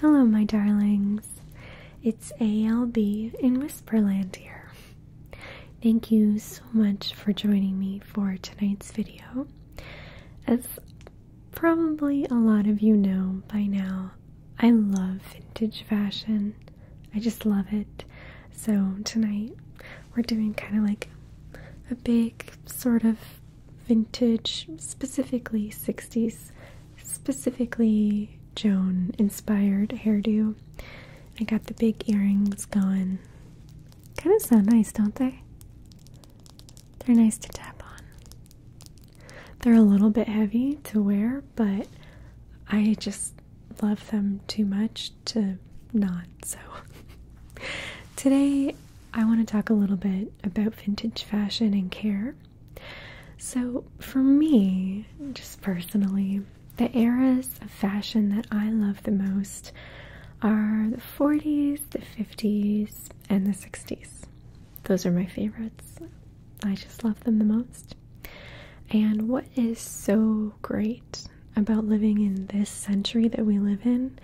Hello, my darlings. It's ALB in Whisperland here. Thank you so much for joining me for tonight's video. As probably a lot of you know by now, I love vintage fashion. I just love it. So, tonight we're doing kind of like a big sort of vintage, specifically 60s, specifically Joan inspired hairdo. I got the big earrings going. Kind of sound nice, don't they? They're nice to tap on. They're a little bit heavy to wear, but I just love them too much to not. So, today I want to talk a little bit about vintage fashion and care. So, for me, just personally, the eras of fashion that I love the most are the 40s, the 50s, and the 60s. Those are my favorites. I just love them the most. And what is so great about living in this century that we live in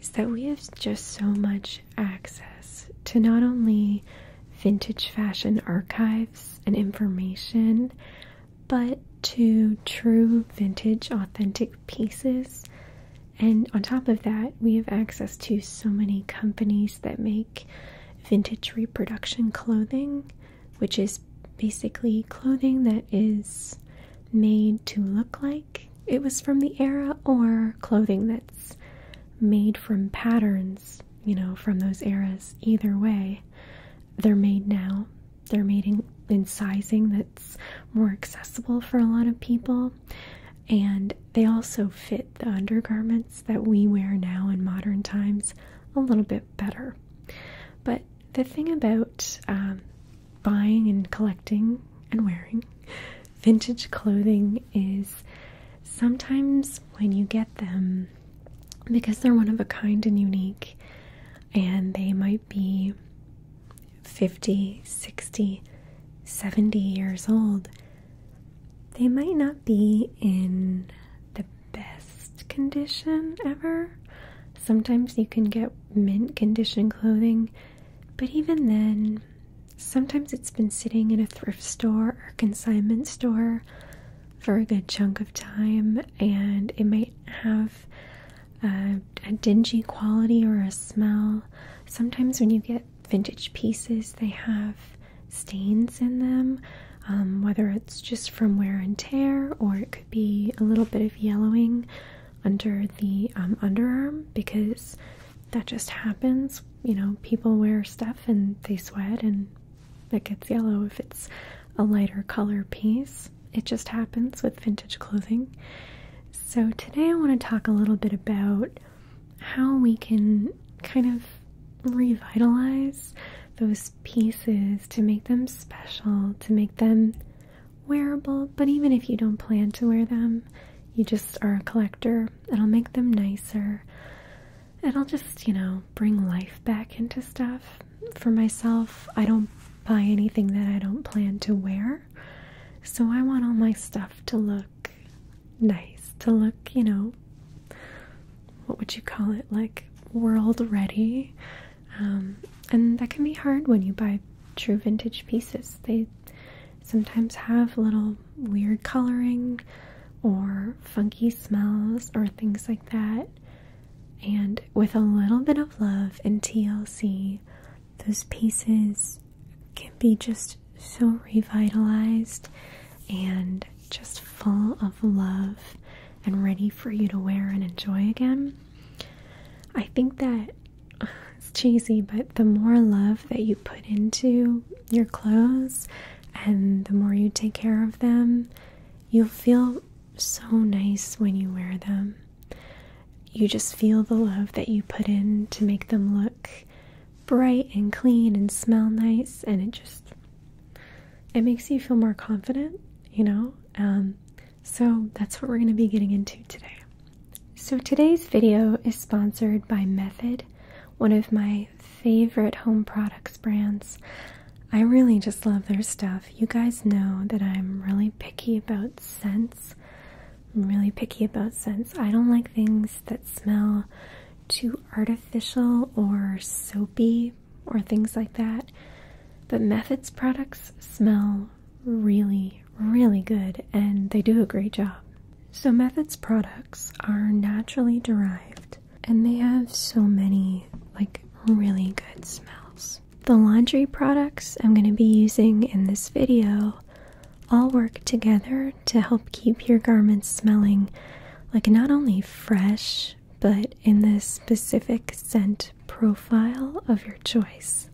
is that we have just so much access to not only vintage fashion archives and information, but to true vintage authentic pieces. And on top of that, we have access to so many companies that make vintage reproduction clothing, which is basically clothing that is made to look like it was from the era or clothing that's made from patterns, you know, from those eras. Either way, they're made now. They're made in, in sizing that's more accessible for a lot of people. And they also fit the undergarments that we wear now in modern times a little bit better. But the thing about um, buying and collecting and wearing vintage clothing is sometimes when you get them, because they're one of a kind and unique, and they might be 50, 60, 70 years old, they might not be in the best condition ever. Sometimes you can get mint condition clothing, but even then, Sometimes it's been sitting in a thrift store or consignment store for a good chunk of time, and it might have a, dingy quality or a smell. Sometimes when you get vintage pieces, they have stains in them, um, whether it's just from wear and tear or it could be a little bit of yellowing under the um, underarm because that just happens you know, people wear stuff and they sweat and it gets yellow if it's a lighter color piece. It just happens with vintage clothing. So, today I want to talk a little bit about how we can kind of revitalize those pieces to make them special, to make them wearable. But even if you don't plan to wear them, you just are a collector. It'll make them nicer. It'll just, you know, bring life back into stuff. For myself, I don't buy anything that I don't plan to wear. So I want all my stuff to look nice, to look, you know, what would you call it? Like world ready. Um, and that can be hard when you buy true vintage pieces. They sometimes have little weird coloring or funky smells or things like that. And with a little bit of love and TLC, those pieces can be just so revitalized and just full of love and ready for you to wear and enjoy again. I think that it's cheesy, but the more love that you put into your clothes and the more you take care of them, you'll feel so nice when you wear them. You just feel the love that you put in to make them look bright and clean and smell nice and it just it makes you feel more confident, you know? Um, so that's what we're going to be getting into today. So today's video is sponsored by Method, one of my favorite home products brands. I really just love their stuff. You guys know that I'm really picky about scents. I'm really picky about scents. I don't like things that smell too artificial or soapy or things like that. But Methods products smell really, really good and they do a great job. So, Methods products are naturally derived and they have so many like really good smells. The laundry products I'm going to be using in this video all work together to help keep your garments smelling like not only fresh but in the specific scent profile of your choice,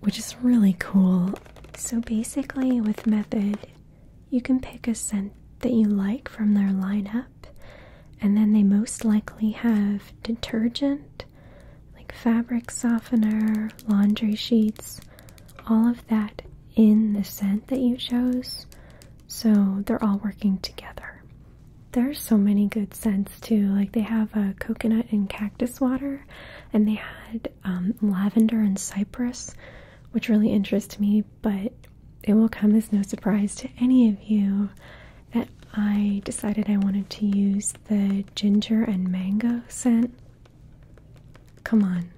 which is really cool. So, basically, with Method, you can pick a scent that you like from their lineup, and then they most likely have detergent, like fabric softener, laundry sheets, all of that in the scent that you chose. So they're all working together. There's so many good scents too. Like they have a uh, coconut and cactus water, and they had um, lavender and cypress which really interests me, but it will come as no surprise to any of you that I decided I wanted to use the ginger and mango scent. Come on.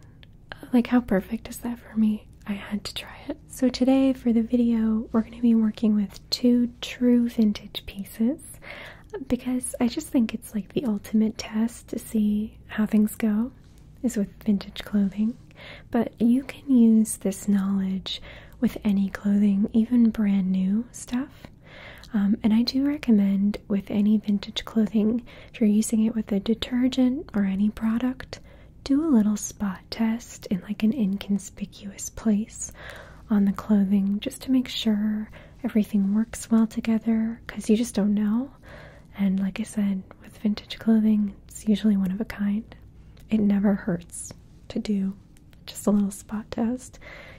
Like, how perfect is that for me? I had to try it. So, today for the video, we're going to be working with two true vintage pieces because I just think it's like the ultimate test to see how things go is with vintage clothing, but you can use this knowledge with any clothing, even brand new stuff. Um, and I do recommend with any vintage clothing, if you're using it with a detergent or any product, do a little spot test in like an inconspicuous place on the clothing just to make sure everything works well together because you just don't know and like I said, with vintage clothing, it's usually one of a kind. It never hurts to do just a little spot test.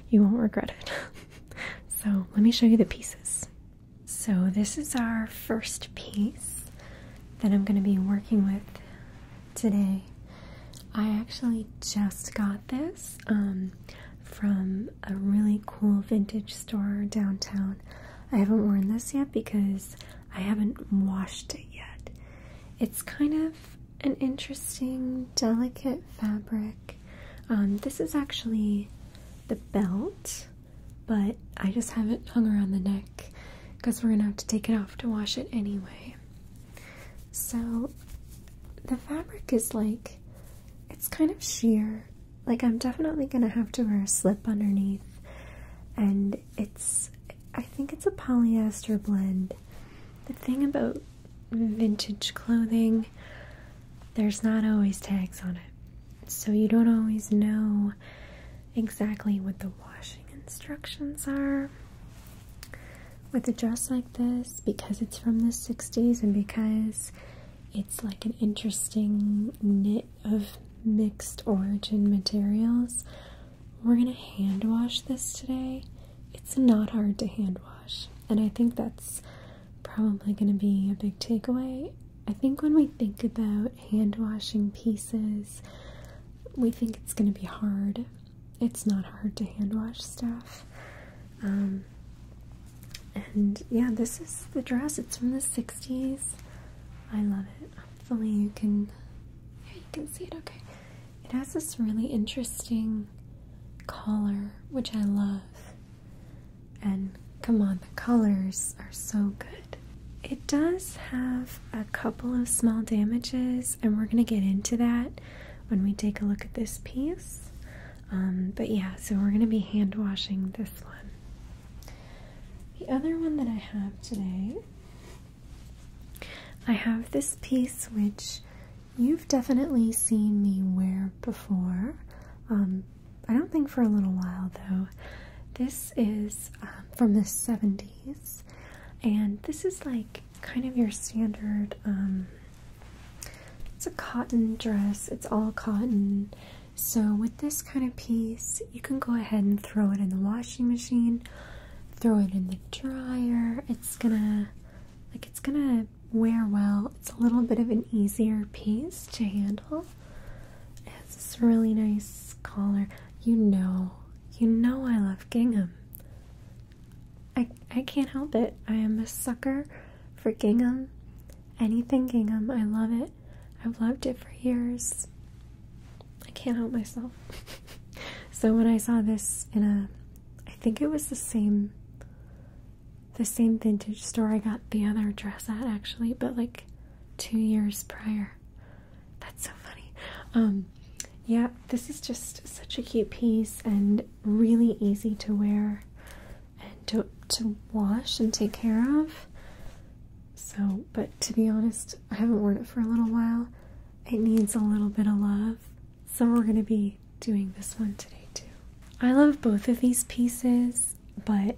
You won't regret it. so, let me show you the pieces. So, this is our first piece that I'm going to be working with today. I actually just got this um, from a really cool vintage store downtown I haven't worn this yet because I haven't washed it yet. It's kind of an interesting, delicate fabric. Um, this is actually the belt, but I just haven't hung around the neck because we're gonna have to take it off to wash it anyway. So the fabric is like, it's kind of sheer like I'm definitely gonna have to wear a slip underneath, and it's I think it's a polyester blend. The thing about vintage clothing, there's not always tags on it, so you don't always know exactly what the washing instructions are. With a dress like this, because it's from the 60s and because it's like an interesting knit of mixed origin materials. We're gonna hand wash this today. It's not hard to hand wash, and I think that's probably gonna be a big takeaway. I think when we think about hand washing pieces, we think it's gonna be hard. It's not hard to hand wash stuff. Um, and yeah, this is the dress. It's from the 60s. I love it. Hopefully you can yeah, you can see it okay. It has this really interesting collar, which I love. And come on, the colors are so good. It does have a couple of small damages, and we're gonna get into that when we take a look at this piece. Um, but yeah, so we're gonna be hand washing this one. The other one that I have today, I have this piece which you've definitely seen me wear before. Um, I don't think for a little while though. This is um, from the 70s, and this is like kind of your standard. Um, it's a cotton dress, it's all cotton. So, with this kind of piece, you can go ahead and throw it in the washing machine, throw it in the dryer. It's gonna, like, it's gonna wear well. It's a little bit of an easier piece to handle. It has this really nice collar. You know, you know, I love gingham. I, I can't help it. I am a sucker for gingham. Anything gingham, I love it. I've loved it for years. I can't help myself. so when I saw this in a I think it was the same the same vintage store I got the other dress at actually, but like two years prior. That's so funny. Um yeah, this is just such a cute piece and really easy to wear and to to wash and take care of. So, but to be honest, I haven't worn it for a little while. It needs a little bit of love. So, we're going to be doing this one today, too. I love both of these pieces, but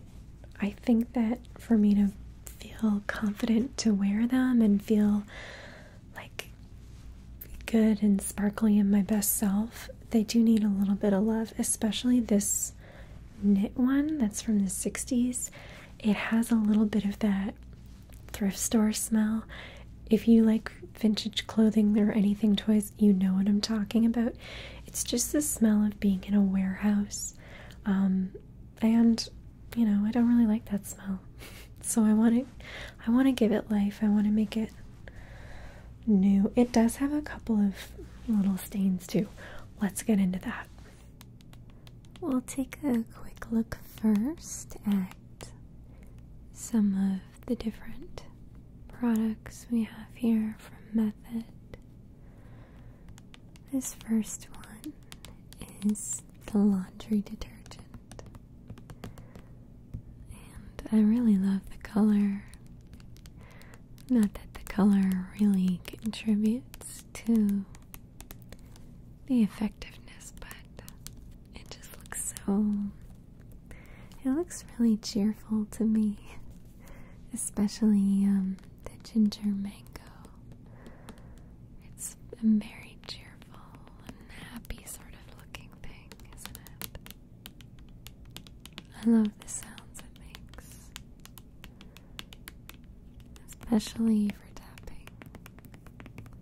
I think that for me to feel confident to wear them and feel like good and sparkly in my best self, they do need a little bit of love, especially this knit one that's from the 60s. It has a little bit of that thrift store smell. If you like vintage clothing or anything toys, you know what I'm talking about. It's just the smell of being in a warehouse. Um, and you know, I don't really like that smell. so I want to I want to give it life. I want to make it new. It does have a couple of little stains too. Let's get into that. We'll take a quick look first at some of the different products we have here from Method. This first one is the laundry detergent, and I really love the color. Not that the color really contributes to the effectiveness, but it just looks so. It looks really cheerful to me, especially um, the ginger mango. It's a very cheerful happy sort of looking thing, isn't it? I love the sounds it makes especially for tapping.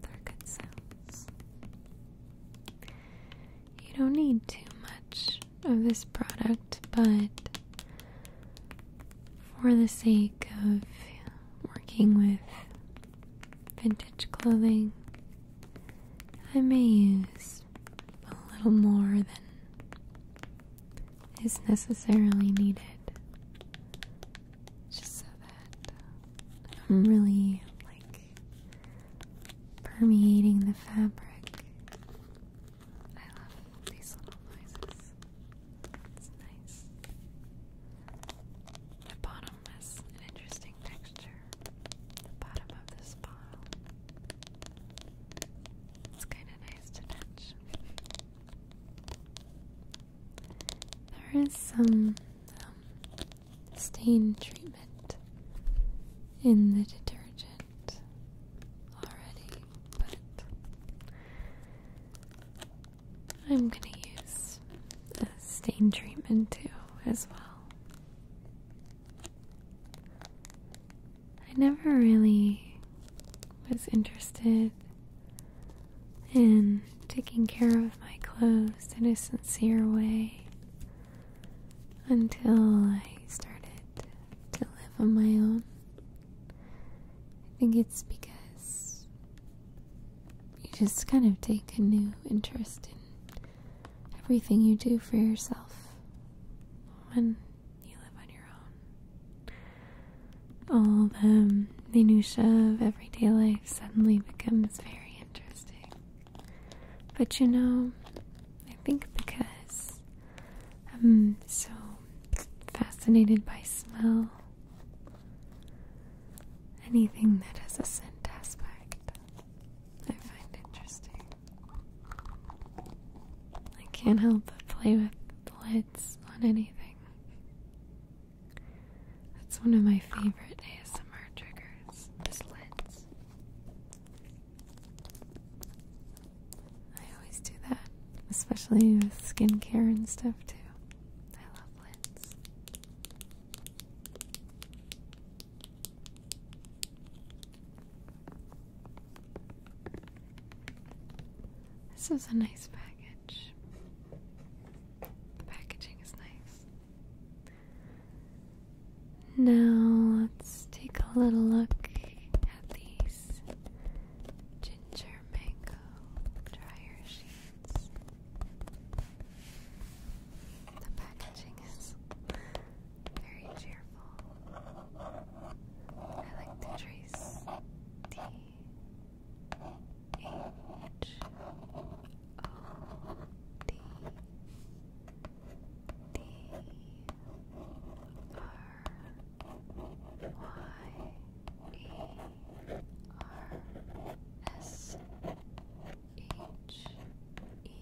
They're good sounds. You don't need too much of this product, but for the sake of working with vintage clothing, I may use a little more than is necessarily needed. Just so that I'm really like permeating the fabric. I love these little noises. It's nice. The bottom has an interesting texture. The bottom of this bottle. It's kind of nice to touch. There is some um, stain treatment in the detergent already, but I'm gonna use a stain treatment too, as well. I never really was interested in taking care of my clothes in a sincere way until I started to live on my own. I think it's because you just kind of take a new interest in everything you do for yourself when you live on your own all the minutiae of everyday life suddenly becomes very interesting. But you know, I think because I'm so fascinated by smell, anything that has a scent aspect, I find interesting. I can't help but play with the heads on anything. That's one of my favorite ASMR triggers, is I always do that, especially with skincare and stuff too. I love lids. This is a nice package. The packaging is nice. Now let's take a little look at these ginger mango dryer sheets. The packaging is very cheerful. I like to trace H O D D R Y E R S H E E D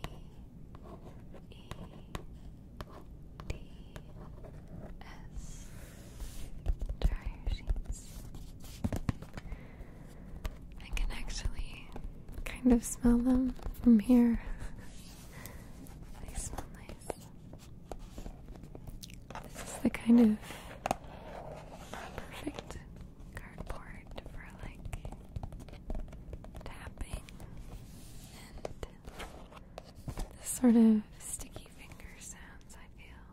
S I can actually kind of smell them from here. they smell nice. This is the kind of perfect cardboard for like tapping and this sort of sticky finger sounds I feel.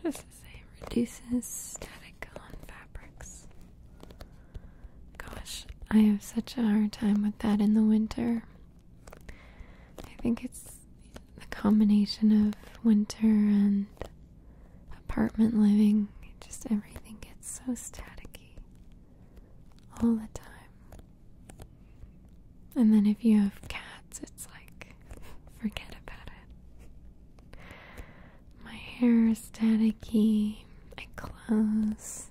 What does it say? Reduces static on fabrics. Gosh, I have such a hard time with that in the winter. I think it's the combination of winter and apartment living. Just everything gets so staticky all the time. And then if you have cats, it's like, forget about it. My hair is staticky, my clothes.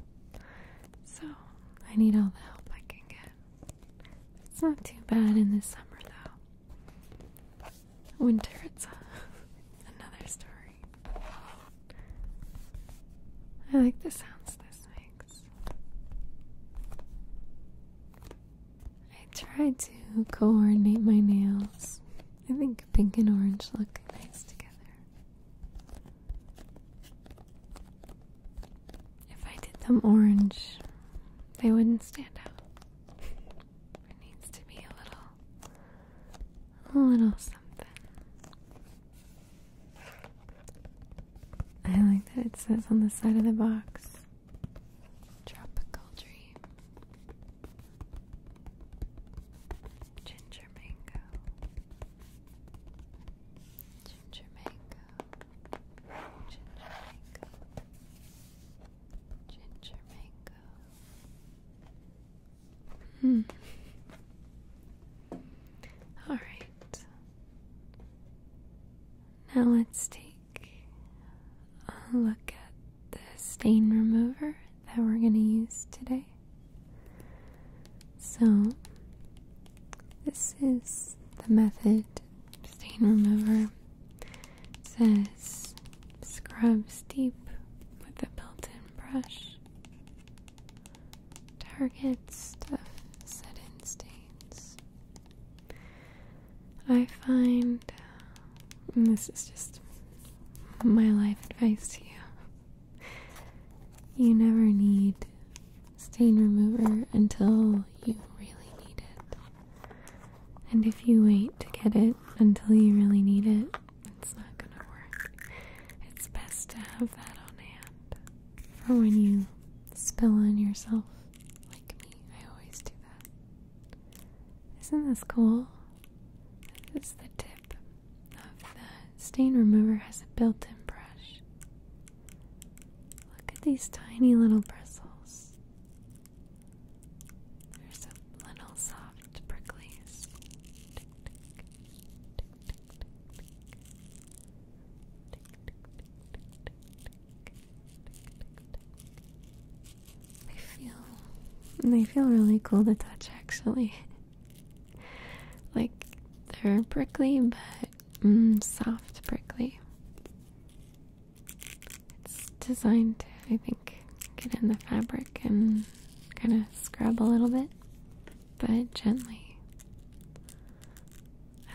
So I need all the help I can get. It's not too bad in the summer though. Winter, it's another story. I like the sounds this makes. I try to coordinate my nails. I think pink and orange look nice together. If I did them orange, they wouldn't stand out. It needs to be a little, a little something. I like that it says on the side of the box Tropical Dream Ginger Mango Ginger Mango Ginger Mango Ginger Mango Hmm all right. Now let's take a look at the stain remover that we're going to use today. So, this is the method stain remover. says scrub deep with a built in brush. Target stuff set in stains. I find, um, this is just my life advice to you, you never need stain remover until you really need it. And if you wait to get it until you really need it, it's not gonna work. It's best to have that on hand. Or when you spill on yourself like me. I always do that. Isn't this cool? This is the tip of the stain remover has a built-in brush. Look at these tiny little bristles. There's some little soft pricklies. They feel they feel really cool to touch actually. like they're prickly but mm, soft prickly. It's designed to, I think, get in the fabric and kind of scrub a little bit, but gently.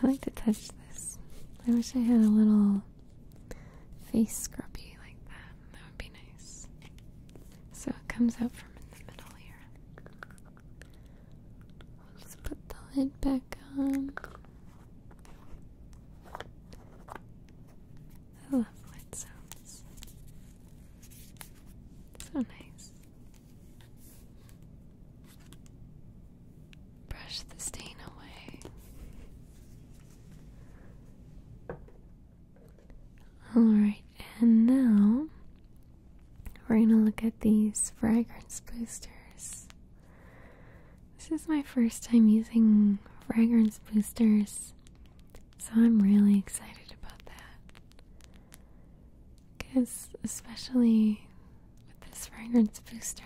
I like to touch this. I wish I had a little face scrubby like that. That would be nice. So it comes out from in the middle here. I'll just put the lid back on. I love lid sounds. So nice. Brush the stain away. Alright, and now we're going to look at these fragrance boosters. This is my first time using fragrance boosters, so I'm really excited about that because especially with this fragrance booster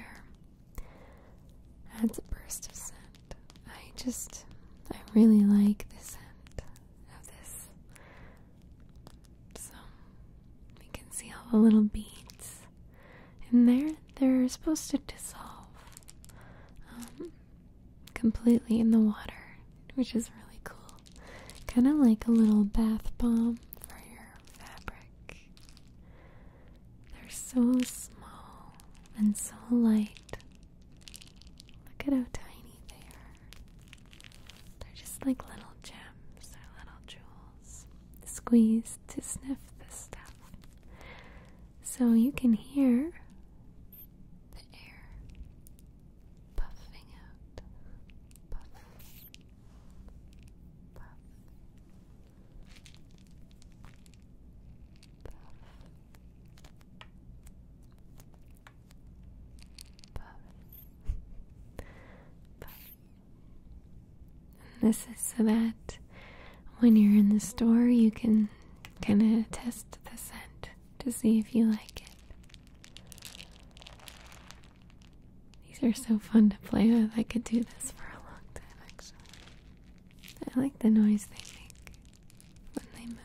adds a burst of scent. I just I really like the scent of this. So we can see all the little beads in there. They're supposed to dissolve um, completely in the water, which is really cool. Kind of like a little bath bomb for fabric. They're so small and so light. Look at how tiny they are. They're just like little gems or little jewels squeezed to sniff the stuff. So you can hear the air puffing out. And this is so that when you're in the store, you can kind of test the scent to see if you like it. These are so fun to play with. I could do this for a long time, actually. I like the noise they make when they move.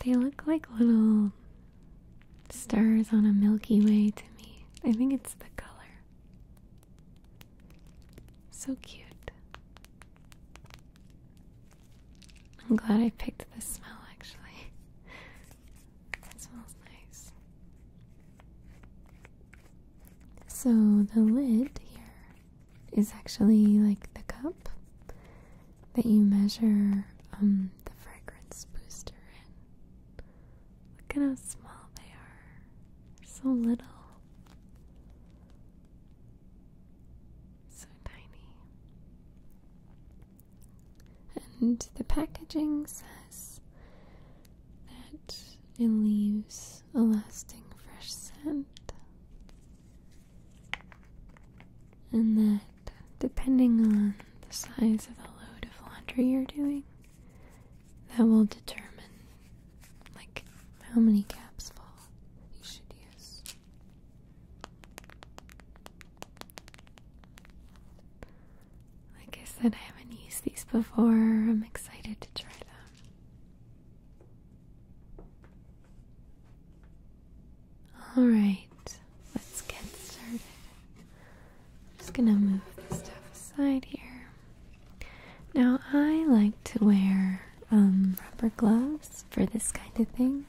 They look like little stars on a Milky Way to me. I think it's the color. So cute. I'm glad I picked this smell actually. It smells nice. So the lid here is actually like the cup that you measure um, the fragrance booster in. Look at how small They're so little. So tiny. And the packaging says that it leaves a lasting fresh scent, and that depending on the size of the load of laundry you're doing, that will determine like how many caps fall you should use. Like I said, I haven't used these before. I'm excited to try them. Alright, let's get started. I'm just gonna move the stuff aside here. Now, I like to wear um, rubber gloves for this kind of thing.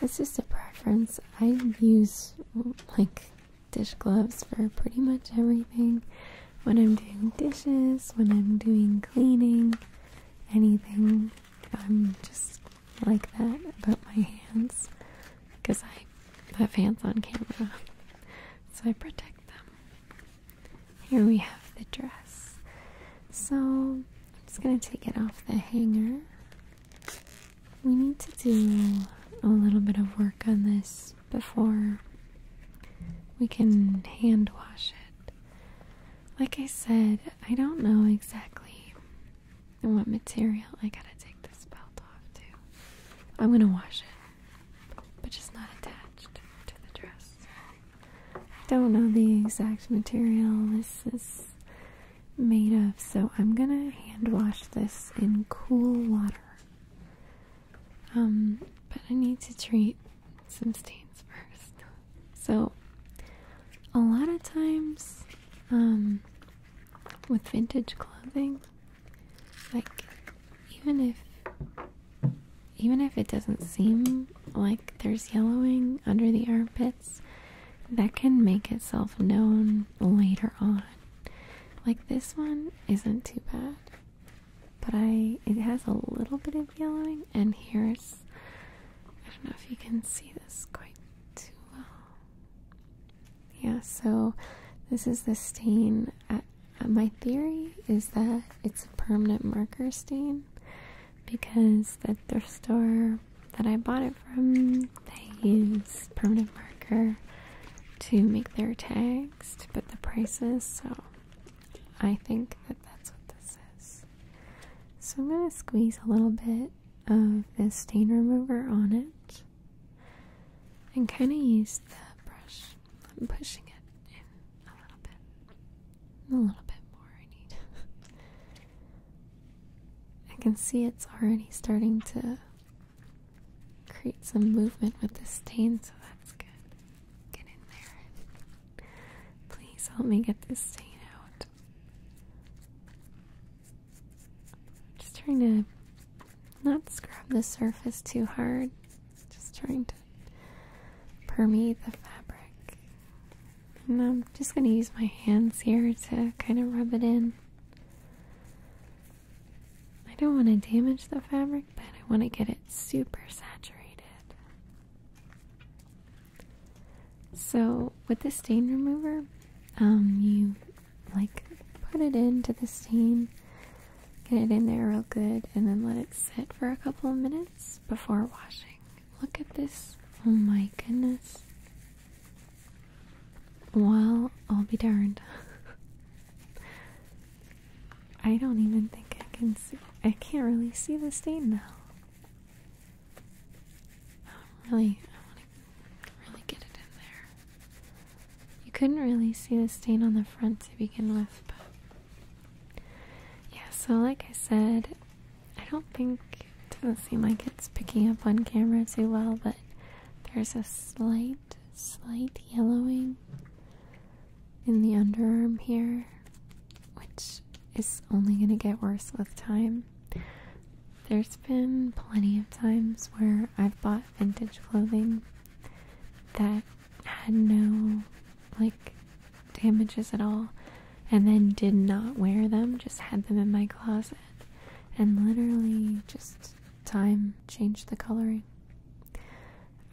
It's just a preference. I use like dish gloves for pretty much everything. When I'm doing dishes, when I'm doing cleaning, anything. I'm just like that about my hands because I have hands on camera. So I protect them. Here we have the dress. So I'm just going to take it off the hanger. We need to do a little bit of work on this before we can hand wash it. Like I said, I don't know exactly what material. I gotta take this belt off too. I'm gonna wash it, but just not attached to the dress. I don't know the exact material. This is made of, so I'm gonna hand wash this in cool water. Um, but I need to treat some stains first. So, a lot of times, um, with vintage clothing, like even if even if it doesn't seem like there's yellowing under the armpits, that can make itself known later on. Like this one isn't too bad, but I it has a little bit of yellowing, and heres I don't know if you can see this quite too well. Yeah, so this is the stain. my theory is that it's a permanent marker stain because the thrift store that I bought it from. They use permanent marker to make their tags but the prices, so I think that that's what this is. So I'm going to squeeze a little bit of this stain remover on it and kind of use the brush. pushing it in a little bit. A little bit more, I need. I can see it's already starting to create some movement with the stain, so that's good. Get in there. Please help me get this stain out. Just trying to not scrub the surface too hard. Just trying to permeate the fabric. And I'm just going to use my hands here to kind of rub it in. I don't want to damage the fabric, but I want to get it super saturated. So, with the stain remover, um, you like put it into the stain, get it in there real good, and then let it sit for a couple of minutes before washing. Look at this. Oh my goodness. Well, I'll be darned. I don't even think I can see. I can't really see the stain now. I'm really, I want to really get it in there. You couldn't really see the stain on the front to begin with, but yeah. So, like I said, I don't think doesn't seem like it's picking up on camera too well, but there's a slight, slight yellowing in the underarm here, which is only going to get worse with time. There's been plenty of times where I've bought vintage clothing that had no, like, damages at all, and then did not wear them, just had them in my closet and literally just time change the coloring.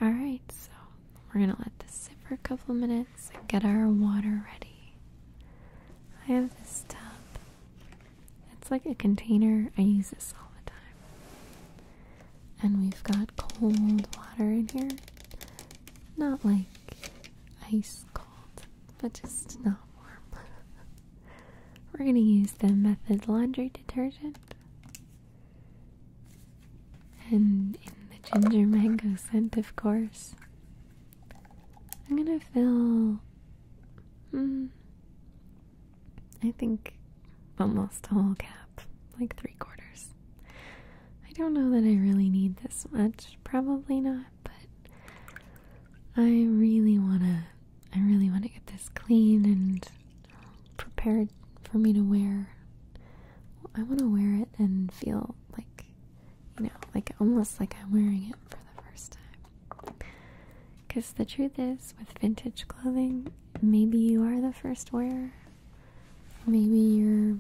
Alright, so we're gonna let this sit for a couple of minutes and get our water ready. I have this tub. It's like a container. I use this all the time. And we've got cold water in here. Not like ice cold, but just not warm. We're going to use the Method laundry detergent. And in the ginger mango scent, of course. I'm going to fill. Hmm, I think almost a whole cap, like three quarters. I don't know that I really need this much. Probably not, but I really want to I really want to get this clean and prepared for me to wear. I want to wear it and feel like, you know, like almost like I'm wearing it for the first time. Because the truth is, with vintage clothing, maybe you are the first wearer. Maybe you're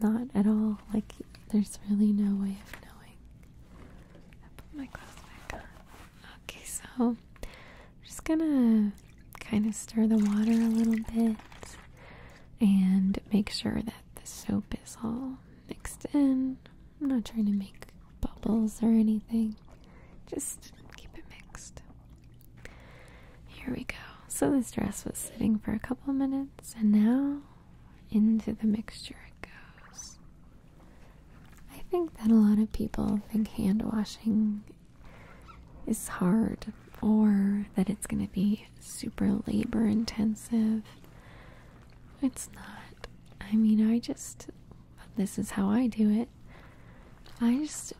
not at all. Like, there's really no way of knowing put my clothes back on. Okay, so I'm just gonna kind of stir the water a little bit and make sure that the soap is all mixed in. I'm not trying to make bubbles or anything, just keep it mixed. Here we go. So this dress was sitting for a couple minutes, and now into the mixture it goes. I think that a lot of people think hand washing is hard or that it's going to be super labor intensive. It's not. I mean, I just, this is how I do it. I just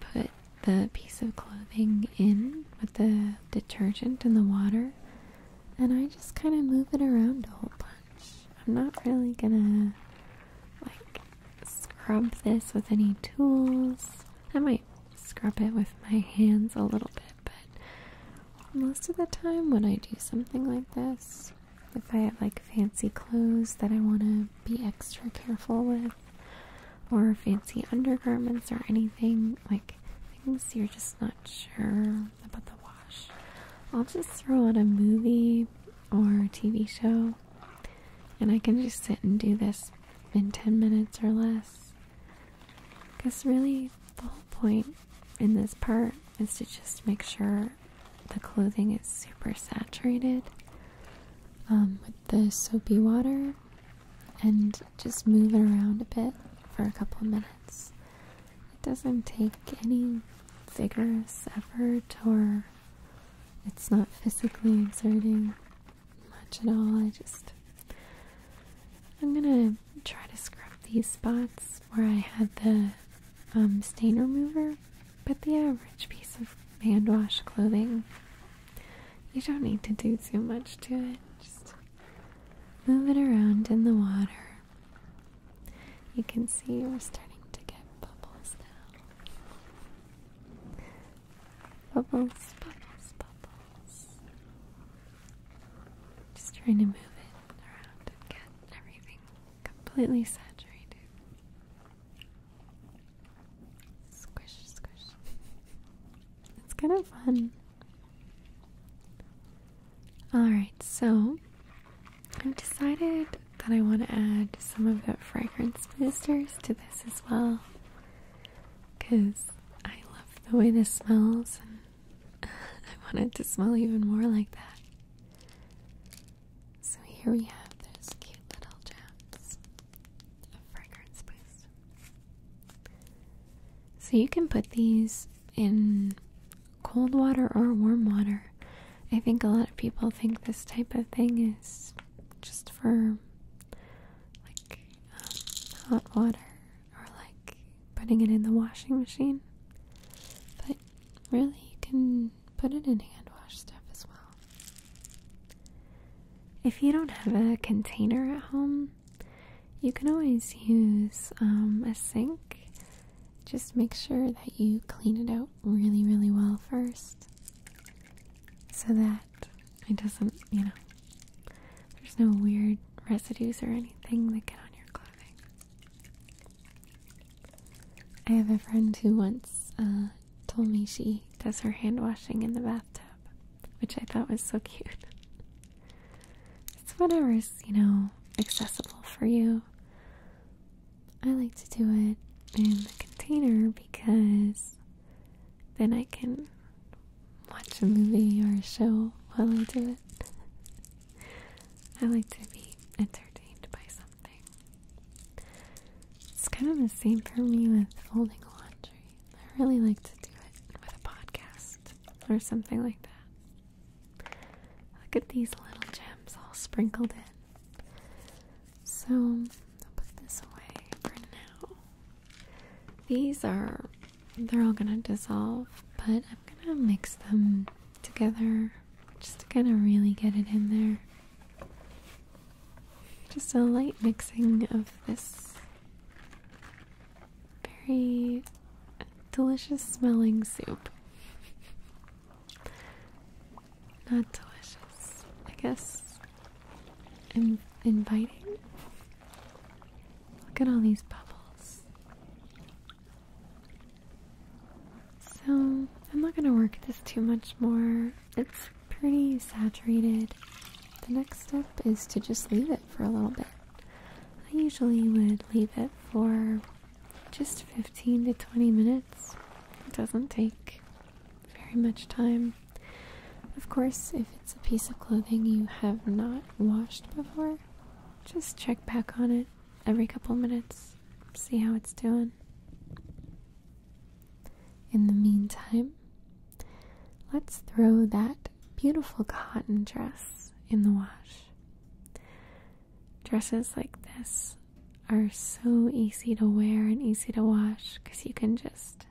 put the piece of clothing in with the detergent and the water, and I just kind of move it around a whole bunch. I'm not really gonna like scrub this with any tools. I might scrub it with my hands a little bit, but most of the time when I do something like this, if I have like fancy clothes that I want to be extra careful with, or fancy undergarments or anything, like things you're just not sure about the I'll just throw on a movie or a TV show and I can just sit and do this in 10 minutes or less. Because really, the whole point in this part is to just make sure the clothing is super saturated um, with the soapy water and just move it around a bit for a couple minutes. It doesn't take any vigorous effort or it's not physically exerting much at all. I just I'm gonna try to scrub these spots where I had the um, stain remover, but the average piece of hand wash clothing, you don't need to do too much to it. Just move it around in the water. You can see we're starting to get bubbles now. Bubbles, bubbles, bubbles. Just trying to move it around and get everything completely saturated. Squish, squish. It's kind of fun. Alright, so I've decided that I want to add some of that fragrance misters to this as well because I love the way this smells and I want it to smell even more like that. So here we have those cute little gems of fragrance boost. So you can put these in cold water or warm water. I think a lot of people think this type of thing is just for like um, hot water or like putting it in the washing machine. But really, you can put it in hand wash stuff as well. If you don't have a container at home, you can always use um, a sink just make sure that you clean it out really, really well first so that it doesn't, you know, there's no weird residues or anything that get on your clothing. I have a friend who once uh, told me she does her hand washing in the bathtub, which I thought was so cute. it's is you know, accessible for you. I like to do it in the container because then I can watch a movie or a show while I do it. I like to be entertained by something. It's kind of the same for me with folding laundry. I really like to do it with a podcast or something like that. Look at these little gems all sprinkled in. So I'll put this away for now. These are, they're all gonna dissolve, but I'm gonna mix them together just to kind of really get it in there. Just a light mixing of this very delicious smelling soup. Not delicious. I guess inviting. Look at all these bubbles. So, I'm not gonna work this too much more. It's pretty saturated. The next step is to just leave it for a little bit. I usually would leave it for just 15 to 20 minutes. It doesn't take very much time. Of course, if it's a piece of clothing you have not washed before, just check back on it every couple minutes, see how it's doing. In the meantime, let's throw that beautiful cotton dress in the wash. Dresses like this are so easy to wear and easy to wash because you can just,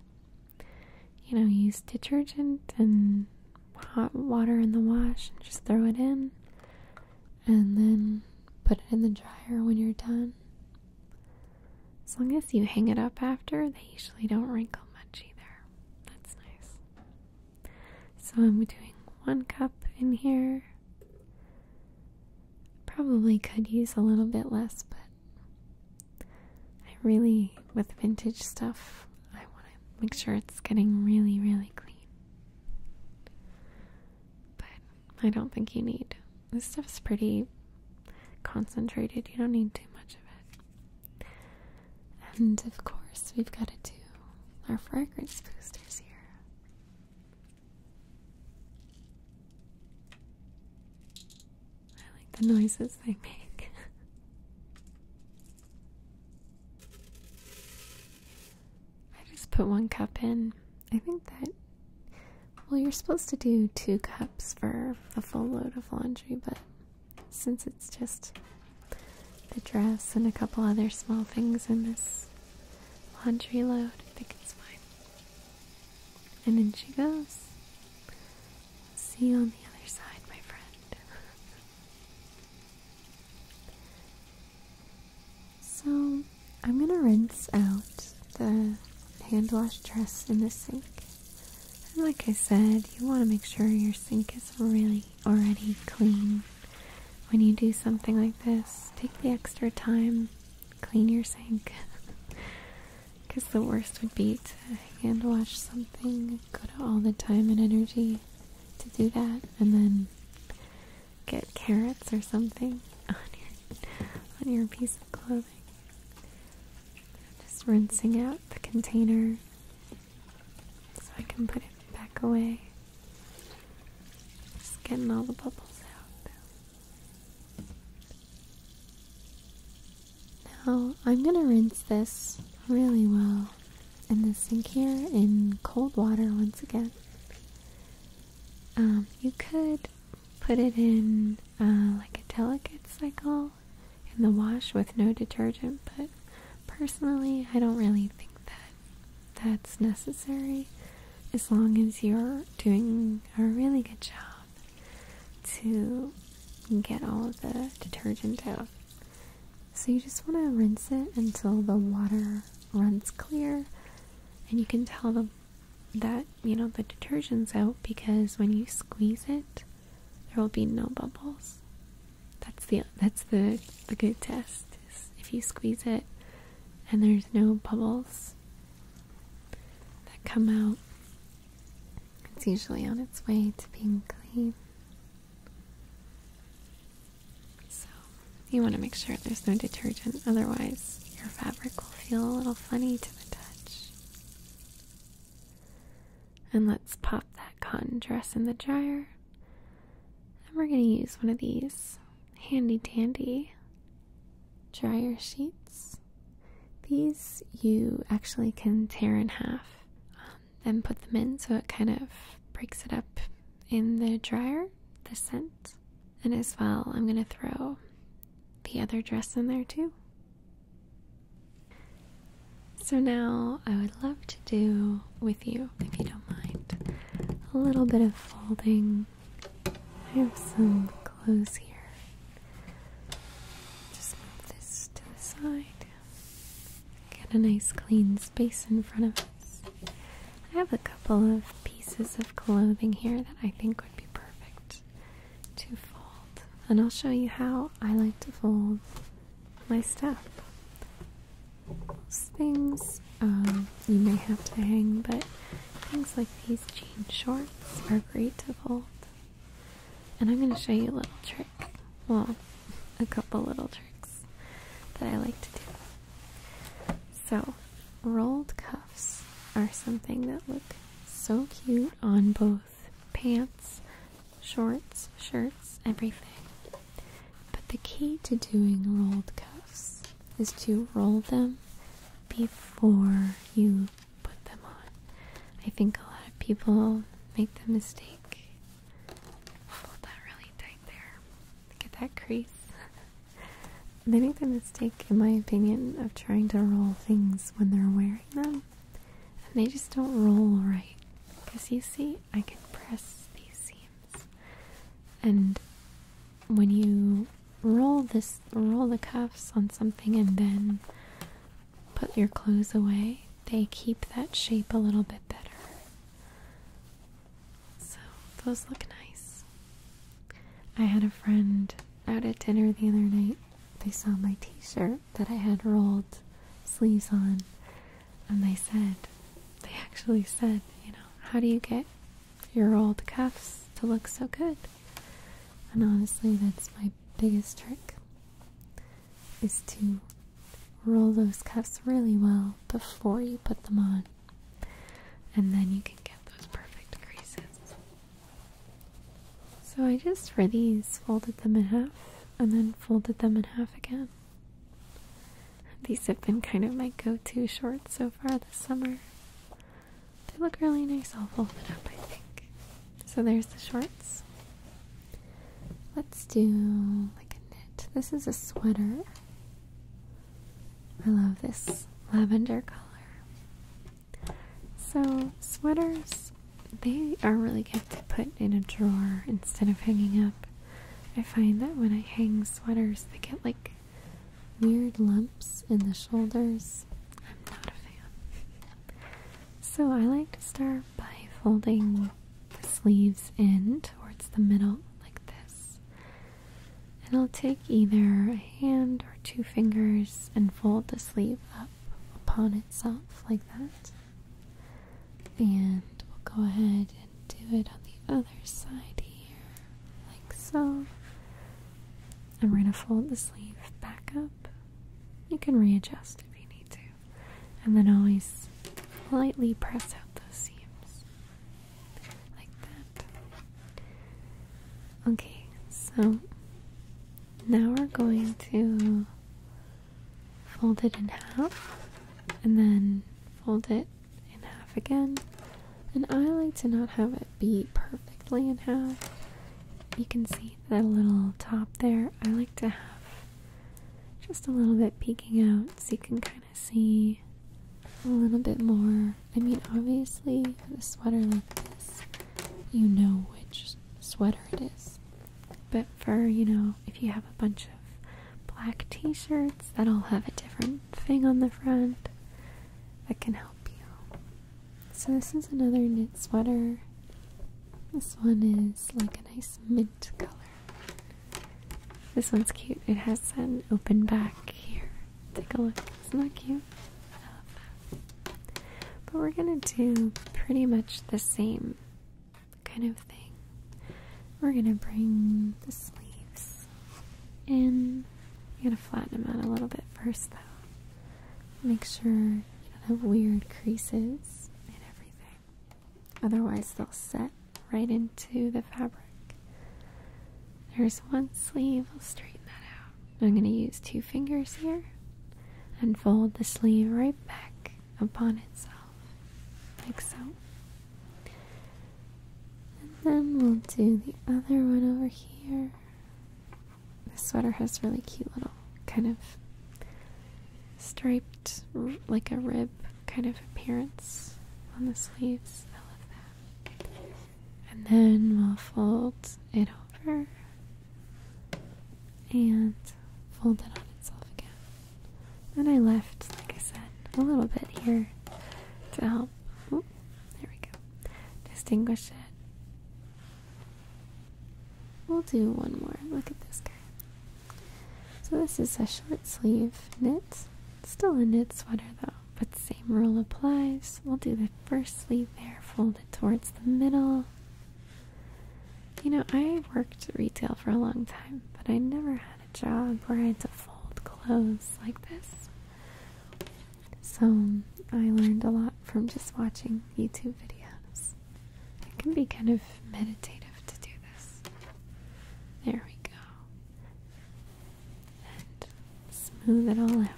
you know, use detergent and hot water in the wash and just throw it in and then put it in the dryer when you're done. As long as you hang it up after, they usually don't wrinkle much either. That's nice. So I'm doing one cup in here. Probably could use a little bit less, but I really, with vintage stuff, I want to make sure it's getting really, really clean. But I don't think you need. This stuff's pretty concentrated, you don't need too much of it. And of course, we've got to do our fragrance boosters here. I like the noises they make. I just put one cup in. I think that, well, you're supposed to do two cups for a full load of laundry, but since it's just the dress and a couple other small things in this laundry load. I think it's fine. And then she goes. See you on the other side, my friend. so, I'm gonna rinse out the hand wash dress in the sink. And like I said, you want to make sure your sink is really already clean when you do something like this, take the extra time, clean your sink. Because the worst would be to hand wash something, go to all the time and energy to do that, and then get carrots or something on your on your piece of clothing. Just rinsing out the container so I can put it back away. Just getting all the bubbles out. Now, I'm gonna rinse this really well in the sink here in cold water once again. Um, you could put it in uh, like a delicate cycle in the wash with no detergent, but personally, I don't really think that that's necessary as long as you're doing a really good job to get all of the detergent out. So you just want to rinse it until the water runs clear and you can tell them that, you know, the detergent's out because when you squeeze it, there will be no bubbles. That's the that's the the good test if you squeeze it and there's no bubbles that come out, it's usually on its way to being clean. So you want to make sure there's no detergent, otherwise, your fabric will feel a little funny to the touch. And let's pop that cotton dress in the dryer. And we're going to use one of these handy dandy dryer sheets. These you actually can tear in half and um, put them in so it kind of breaks it up in the dryer, the scent. And as well, I'm going to throw the other dress in there too. So now I would love to do with you, if you don't mind, a little bit of folding I have some clothes here. Just move this to the side. Get a nice clean space in front of us. I have a couple of pieces of clothing here that I think would be perfect to fold. And I'll show you how I like to fold my stuff things um, you may have to hang, but things like these jean shorts are great to fold. And I'm going to show you a little trick. Well, a couple little tricks that I like to do. So, rolled cuffs are something that look so cute on both pants, shorts, shirts, everything. But the key to doing rolled cuffs is to roll them before you put them on. I think a lot of people make the mistake. Hold that really tight there. Get that crease. they make the mistake, in my opinion, of trying to roll things when they're wearing them. And they just don't roll right. Because you see, I can press these seams. And when you roll this roll the cuffs on something and then put your clothes away, they keep that shape a little bit better. So those look nice. I had a friend out at dinner the other night. They saw my t-shirt that I had rolled sleeves on and they said they actually said, you know, how do you get your old cuffs to look so good. And honestly, that's my biggest trick is to roll those cuffs really well before you put them on. And then you can get those perfect creases. So I just for these folded them in half and then folded them in half again. These have been kind of my go-to shorts so far this summer. They look really nice all folded up, I think. So there's the shorts. Let's do like a knit. This is a sweater. I love this lavender color. So sweaters, they are really good to put in a drawer instead of hanging up. I find that when I hang sweaters, they get like Weird lumps in the shoulders. I'm not a fan. so I like to start by folding the sleeves in towards the middle, like this. And I'll take either a hand or two fingers and fold the sleeve up upon itself, like that. And we'll go ahead and do it on the other side here like so. And we're going to fold the sleeve back up. You can readjust if you need to. And then always lightly press out those seams. Like that. Okay, so now we're going to fold it in half and then fold it in half again. And I like to not have it be perfectly in half. You can see that little top there. I like to have just a little bit peeking out so you can kind of see a little bit more. I mean, obviously, with a sweater like this, you know which sweater it is. But for, you know, if you have a bunch of black t shirts, that'll have a different thing on the front that can help you. So this is another knit sweater. This one is like a nice mint color. This one's cute. It has an open back here. Take a look. Isn't that cute? But we're gonna do pretty much the same kind of thing. We're gonna bring the sleeves in you got to flatten them out a little bit first, though. Make sure you don't have weird creases and everything. Otherwise, they'll set right into the fabric. There's one sleeve, I'll straighten that out. I'm gonna use two fingers here and fold the sleeve right back upon itself, like so. And then we'll do the other one over here. This sweater has really cute little kind of striped, like a rib kind of appearance on the sleeves. I love that. And then we'll fold it over and fold it on itself again. And I left, like I said, a little bit here to help. There we go. Distinguish it. We'll do one more. Look at this guy. So this is a short sleeve knit. Still a knit sweater though, but same rule applies. We'll do the first sleeve there, fold it towards the middle. You know, I worked retail for a long time, but I never had a job where I had to fold clothes like this. So I learned a lot from just watching YouTube videos. It can be kind of meditative to do this. There we go. And smooth it all out.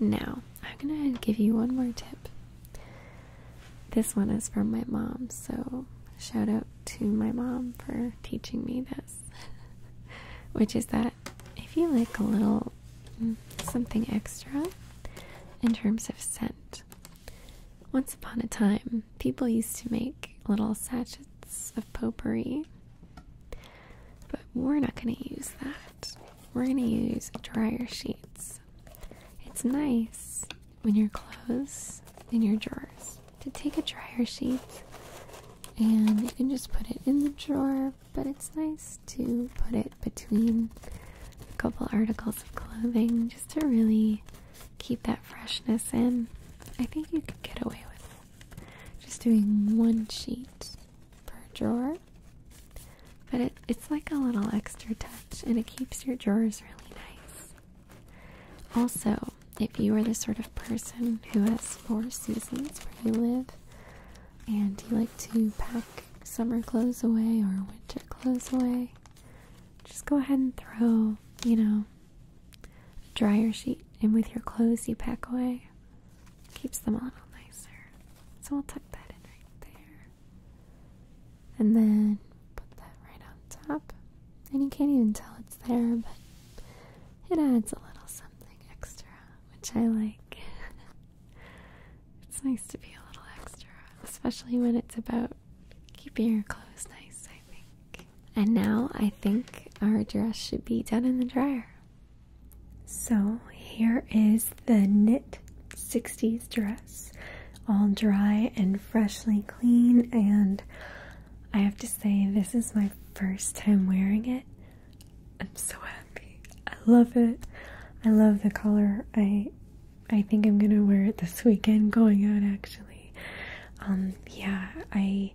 Now, I'm going to give you one more tip. This one is from my mom, so shout out to my mom for teaching me that Which is that if you like a little mm, something extra in terms of scent, once upon a time, people used to make little sachets of potpourri, but we're not going to use that. We're going to use dryer sheets. It's nice when your clothes in your drawers to take a dryer sheet and you can just put it in the drawer, but it's nice to put it between a couple articles of clothing just to really keep that freshness in. I think you could get away with Just doing one sheet per drawer. But it's like a little extra touch and it keeps your drawers really nice. Also, if you are the sort of person who has four seasons where you live and you like to pack summer clothes away or winter clothes away, just go ahead and throw, you know, dryer sheet in with your clothes you pack away. Keeps them a little nicer. So i will tuck that in right there. And then put that right on top. And you can't even tell it's there, but it adds a little something extra, which I like. it's nice to be a little extra, especially when it's about keeping your clothes nice, I think. And now I think our dress should be done in the dryer. So here is the knit 60s dress, all dry and freshly clean and I have to say, this is my first time wearing it. I'm so happy. I love it. I love the color. I I think I'm gonna wear it this weekend going out actually. Um yeah, I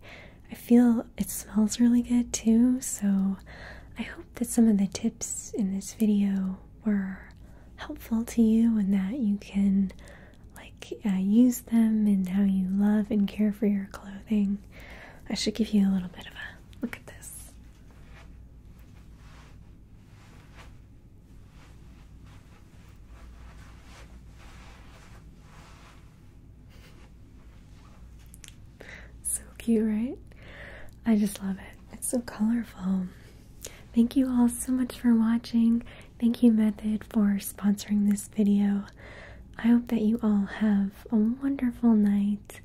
I feel it smells really good too, so I hope that some of the tips in this video were helpful to you and that you can like uh, use them and how you love and care for your clothing. I should give you a little bit of a look at this. So cute, right? I just love it. It's so colorful. Thank you all so much for watching. Thank you, Method, for sponsoring this video. I hope that you all have a wonderful night.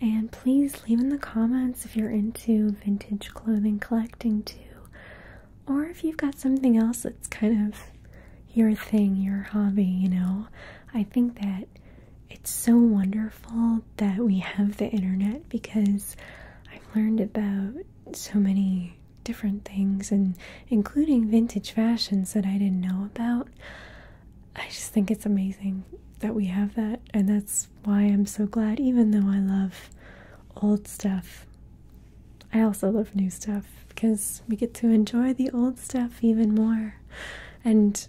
And please leave in the comments if you're into vintage clothing collecting too, or if you've got something else that's kind of your thing, your hobby, you know. I think that it's so wonderful that we have the internet because I've learned about so many different things and including vintage fashions that I didn't know about. I just think it's amazing that we have that, and that's why I'm so glad, even though I love old stuff. I also love new stuff because we get to enjoy the old stuff even more, and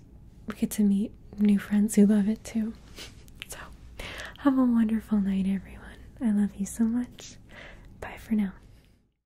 we get to meet new friends who love it too. So, have a wonderful night, everyone. I love you so much. Bye for now.